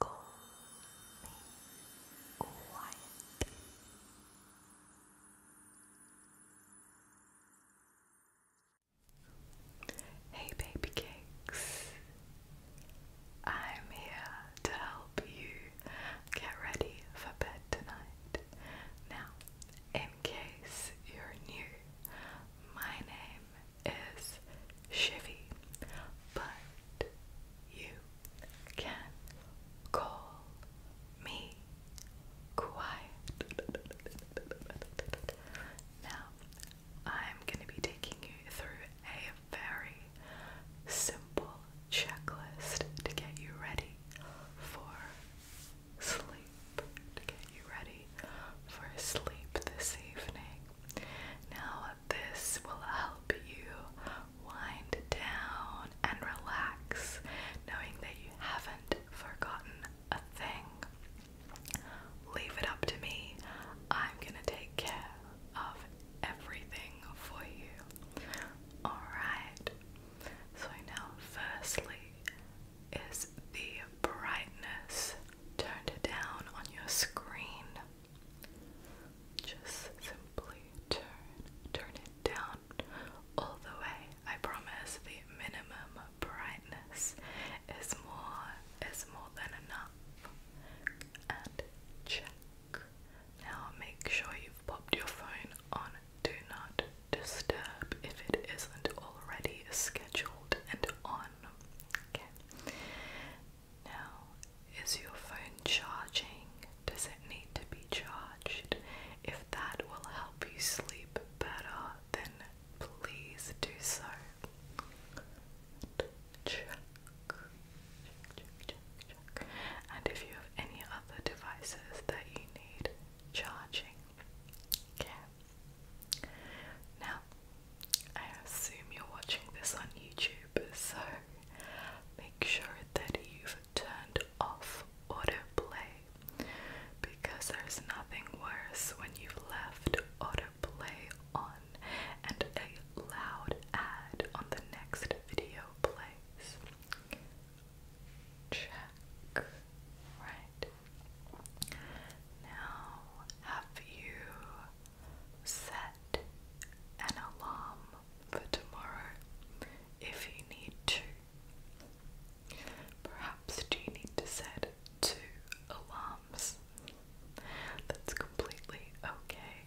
Go quiet. Hey, baby cakes. I'm here to help you get ready for bed tonight. Now, in case you're new, my name is Chevy, but you can call me Quiet. Now, I'm going to be taking you through a very simple checklist to get you ready for sleep. To get you ready for sleep this evening. Now, this will help you wind down and relax, knowing that you haven't forgotten a thing. Leave it up to me. I'm gonna take care of everything for you. Alright, so now, firstly, is the brightness turned down on your screen? Just simply turn, turn it down all the way. I promise the minimum brightness is more is more than enough. And check. Now make sure you've popped your phone on do not disturb if it isn't already scheduled and on. Okay. Now, is your phone charging? Does it need to be charged? If that will help you sleep better, then please do so. And if you have any other devices that you need charging, okay. Now, I assume you're watching this on YouTube, so make sure that you've turned off autoplay because there's nothing worse when you've left autoplay on and a loud ad on the next video plays. Check. Right. Now, have you set an alarm for tomorrow if you need to. Perhaps you need to set two alarms. That's completely okay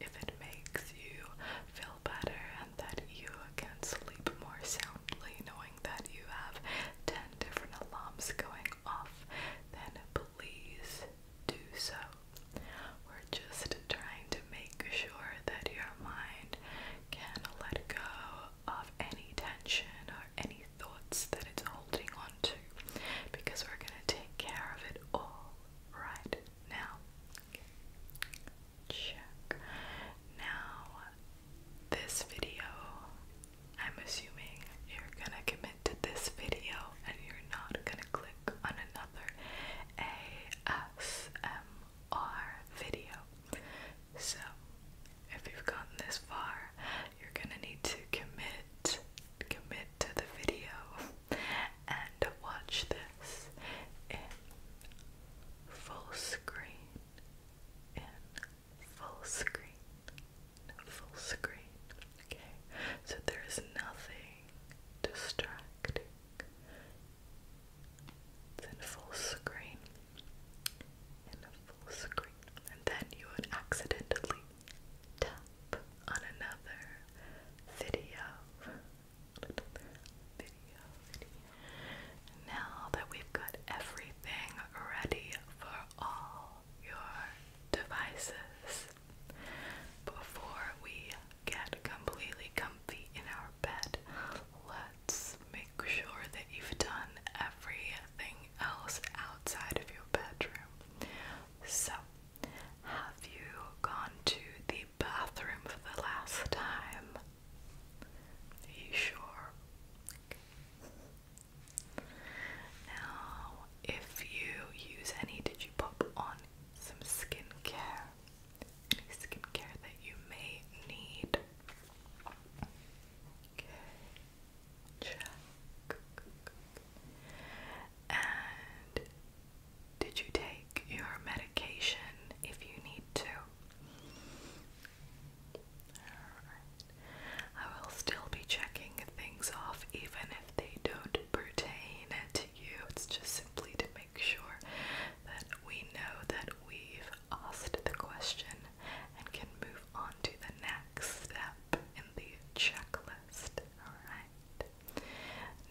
if it makes you feel better and that you can sleep more soundly knowing that you have 10 different alarms going off, then please do so. We're just trying to make sure that your mind can let go of any tension or any thoughts that it's holding on to because we're going to take care of it all right now. Check. Now, this video, I'm assuming you're going to commit to this video and you're not gonna click on another ASMR video. So, if you've gotten this far, you're gonna need to commit, commit to the video and watch this in full screen, in full screen, full screen. Okay, so there is nothing distracting. It's in full screen. In full screen. And then you would accidentally tap on another video. Video, video. Now that we've got everything ready for all your devices before we get completely comfy in our bed. Let's make sure that you've done everything else outside of your bedroom. So, have you gone to the bathroom for the last time? Are you sure? Now, if you use any, did you pop on some skincare? Any skincare that you may need? Okay, check. And did you take your medication if you need to? I will still be checking things off even they don't pertain to you. It's just simply to make sure that we know that we've asked the question and can move on to the next step in the checklist. Alright.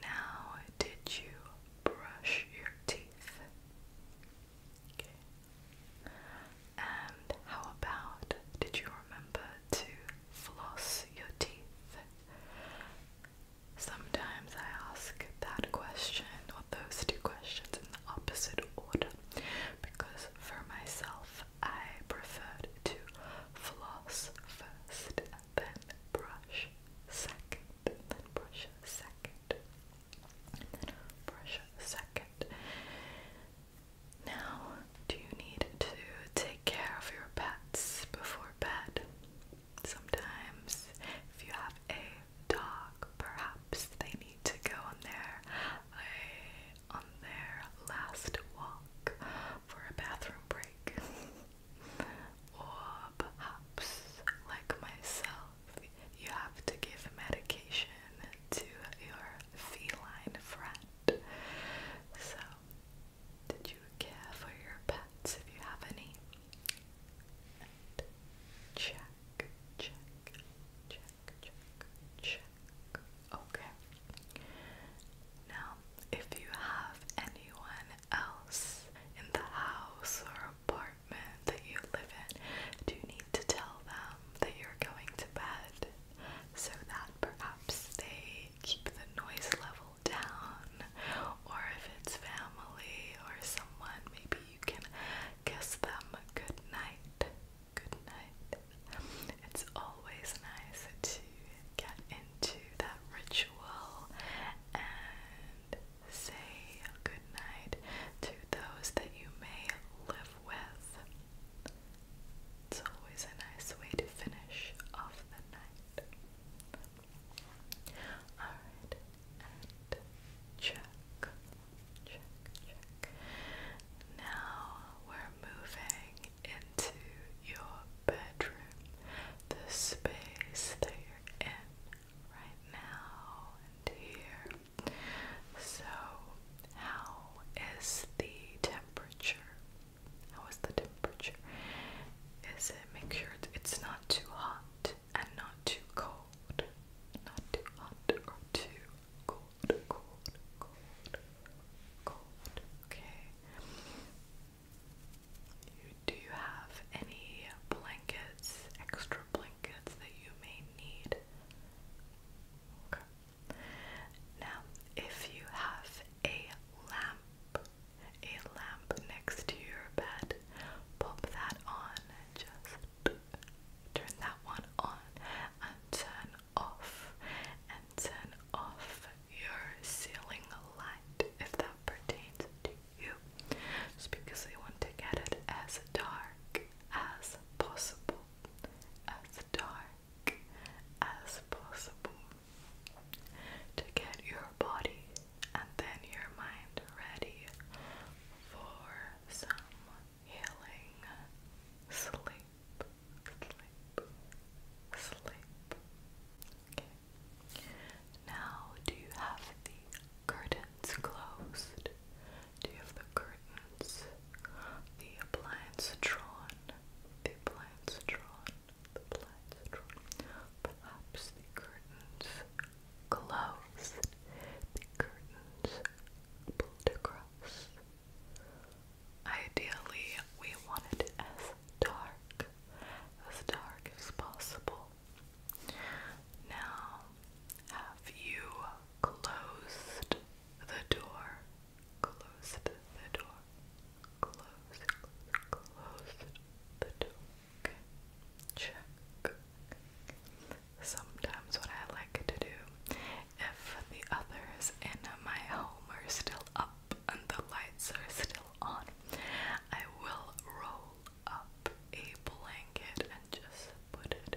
Now, did you brush your teeth? And how about did you remember to floss your teeth. Sometimes I ask that question or those two questions in the opposite order because for myself I prefer to floss first and then brush second, then brush second, brush second. Now, do you need to take care of your pets before bed? Sometimes, if you have a dog, perhaps they need to go on their a eh, on their last walk for a bathroom break, or perhaps, like myself, you have to give medication to your feline friend. So did you care for your pets if you have any? check, check, check, check, check. Okay. Now, if you have anyone else in the house or apartment that you live in, do you need to tell them that you're going to bed? so that perhaps they keep the noise level down, or if it's family or someone, maybe you can kiss them good night. Good night. It's always nice to get into that ritual and say good night to those that you may live with. It's always a nice way to finish off the night. Alright, check, check, check. Now we're moving into your bedroom, the space that you're in right now here. So, how is the temperature how is the temperature? Is it make sure it's not too hot and not too cold? Not too hot or too cold, cold, cold, cold. Okay. do you have any blankets, extra blankets that you may need? Okay. Now, if you have a lamp a lamp next to your bed. Pop that on. Just turn that one on and turn off and turn off your ceiling light if that pertains to you. Just because we want to get it as dark as possible. As dark as possible to get your body and then your mind ready for some healing sleep, sleep, sleep. Okay. Now, do you have the curtains closed? Do you have the curtains? The appliance drawn. The appliance drawn the Perhaps the curtains closed. The curtains pulled across. Ideally, we wanted as dark, as dark as possible. Now, have you closed the door? Close the door. Close, close, close the door. Check. Sometimes what I like to do, if the others in my home are still up and the lights are still on, I will roll up a blanket and just put it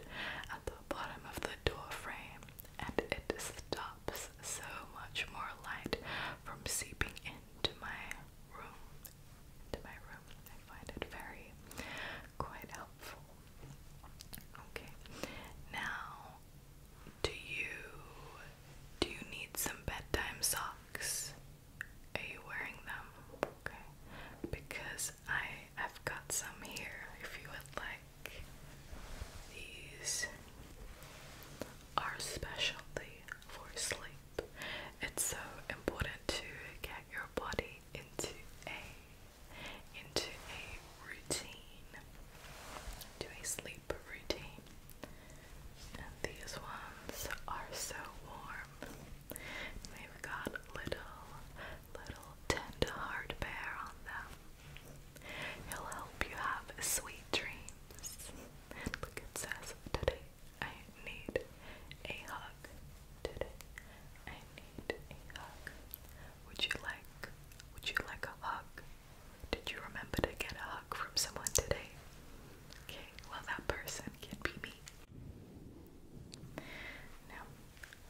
at the bottom of the door frame and it stops so much more light from seeping into my room. Into my room. I find it very quite helpful. Okay. Now do you do you need some bedtime socks? Are you wearing them? Okay. Because I've got some here if you would like these our specialty for sleep. It's so important to get your body into a into a routine. Do a sleep routine. And these ones are so warm. They've got little little tender heart bear on them. He'll help you have sweet dreams. look, it says, Today I need a hug. Today I need a hug. Would you like, would you like a hug? Did you remember to get a hug from someone today? Okay, well, that person can be me. Now,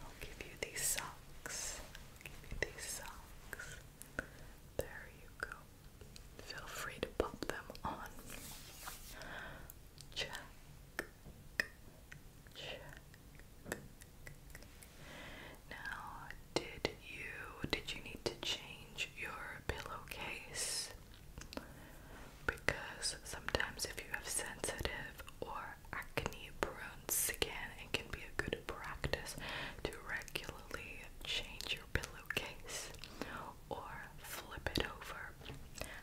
I'll give you these socks. give you these socks. There you go feel free to pop them on. Check. Check. Now, did you did you need to change your pillowcase? Because sometimes if you have sensitive or acne prone skin, it can be a good practice to regularly change pillowcase or flip it over.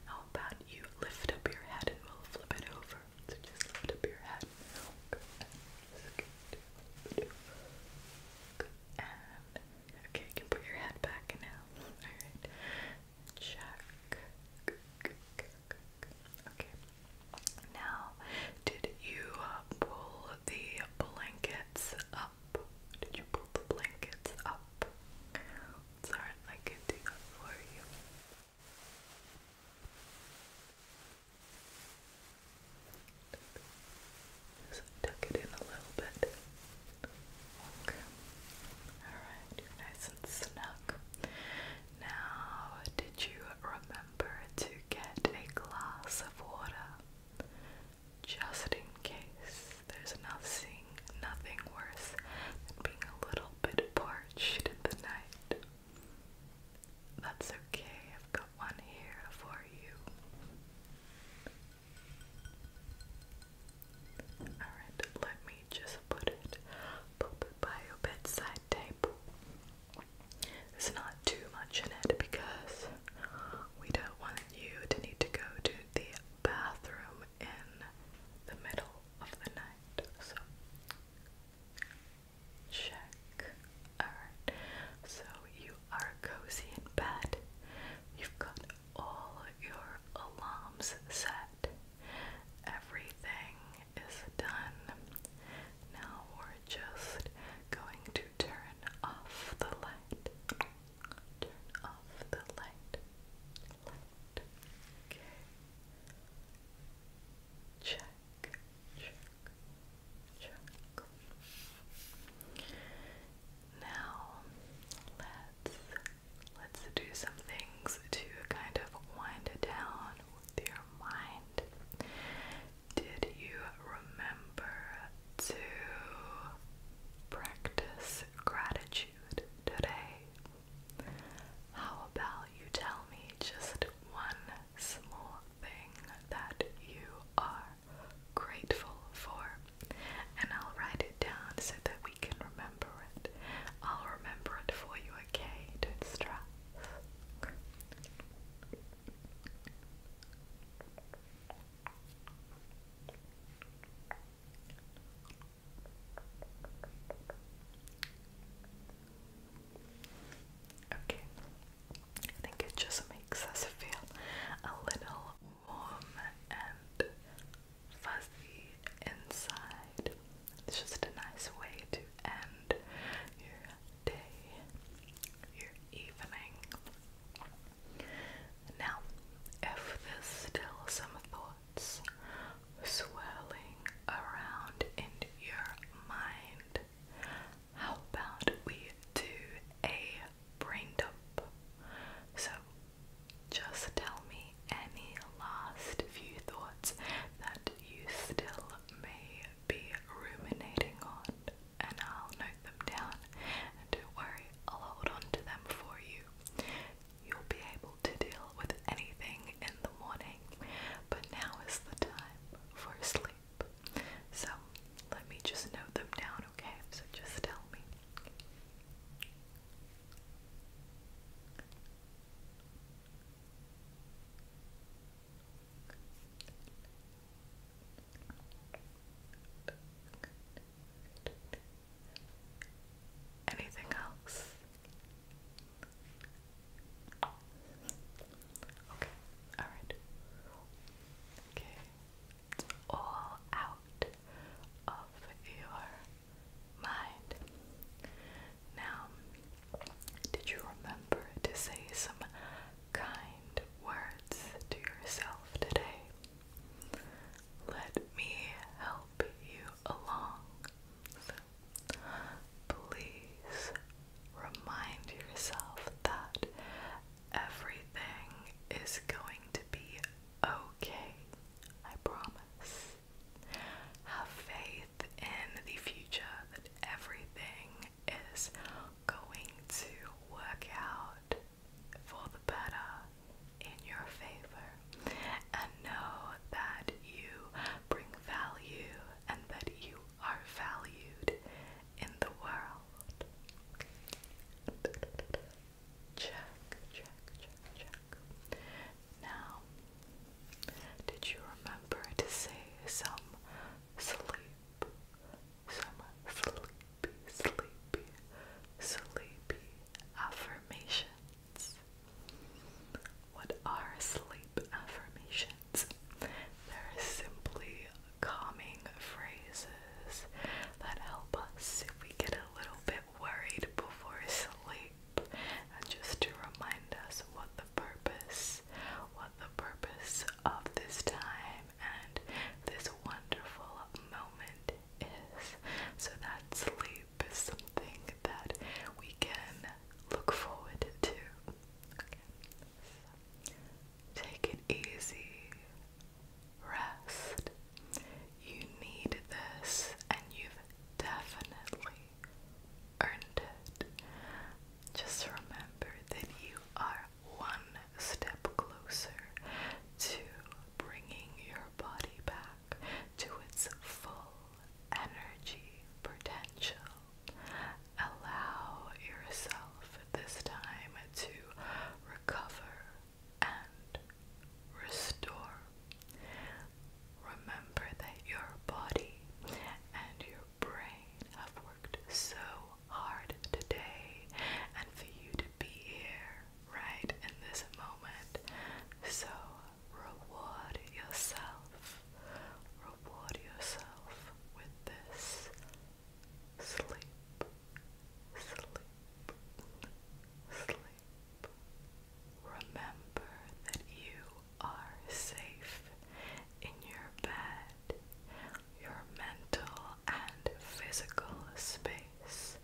How about you lift up your head we'll flip it over? just lift up your head. okay, you can put your head back now. Alright. Check. Okay. Now, did you pull the blankets up. Did you pull the blankets up? It's I can do that for you. Just tuck it in a little bit. Okay. Alright, nice and snug. Now, did you remember to get a glass of water? just in case. There's nothing, nothing worse than being a little bit parched in the night. That's okay, I've got one here for you. Alright, let me just put it, put it by your bedside table. There's not too much in it because we don't want you to need to go to the bathroom in the middle of the night. So check. Alright. So you are cozy in bed. You've got all your alarms set. Everything is done. Now we're just going to turn off the lights. Turn off the light. Okay. Check. Check. Check. Now let's let's do some things to kind of wind down with your mind. Did you remember to practice gratitude today? How about you tell me just one small thing that you are grateful for? And I'll write it down so that we can remember it. I'll remember it for you, okay? do Okay, I think it just makes us feel a little warm and fuzzy inside. It's just a nice way to end your day, your evening. Now, if there's still some thoughts swirling around in your mind, how about we do a brain dump? So, just tell me any last few thoughts that you still may be ruminating on and I'll note them down. And don't worry, I'll hold on to them for you. You'll be able to deal with anything in the morning, but now is the time for sleep. So let me just note them down, okay? So just tell me. Anything else? Okay, alright. Okay, all out of your mind. Now, did you remember to say some kind words to yourself today. Let me help you along. please remind yourself that everything is going to be okay. I promise. Have faith in the future that everything is going to work out for the better in your favor and know that you bring value and that you are valued in the world. Check, check, check, Now, did you remember to say some sleep? Some sleep sleepy, sleepy, sleepy affirmations. What are sleep affirmations? They're simply calming phrases that help us if we get a little bit worried before sleep and just to remind us what the purpose what the purpose of this time and this wonderful moment is. So that sleep is something that we can look forward to. take it easy. Rest. You need this and you've definitely earned it. Just remember that you are one step closer to bringing your body back to its full energy potential. Allow yourself this time to recover and restore. Remember that your body and your brain have worked so hard today and for you to be here right in this moment. So reward yourself. Reward yourself with this sleep, sleep, sleep. Remember that you are safe in your bed. Your mental and physical space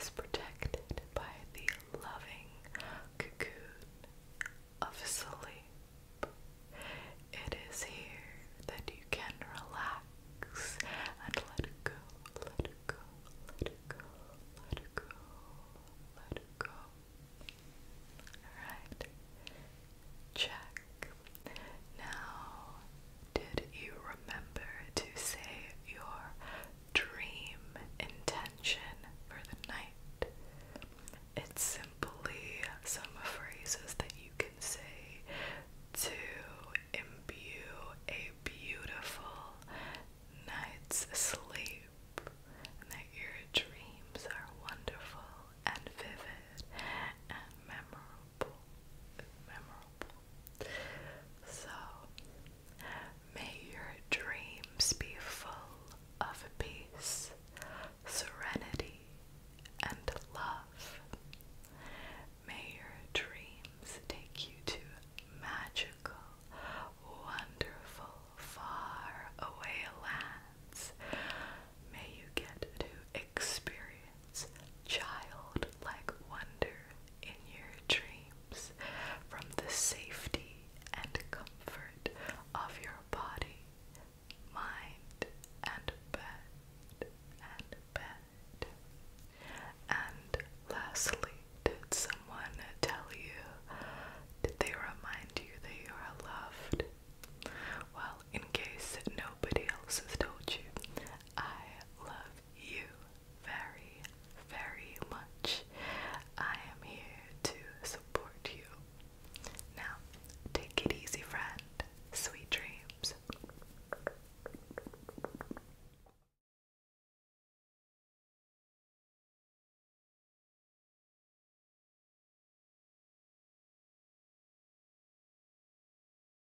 is protected by the loving cocoon of sleep. It is here that you can relax and let go, let go, let go, let go, let go. Alright, check, now, did you remember to say your dream intention for the night? It's simply some phrases that you can say to imbue a beautiful night's sleep and that your dreams are wonderful and vivid and memorable. So, may your dreams be full of peace, serenity, and love. May your dreams take you to magical, wonderful, far away lands. May you get to Experience childlike wonder in your dreams from the safety and comfort of your body, mind, and bed, and bed. And lastly, did someone tell you? Did they remind you that you are loved? Well, in case nobody else has told you, I love you very, very much. I am here to support you. Now, take it easy, friend. Sweet dreams.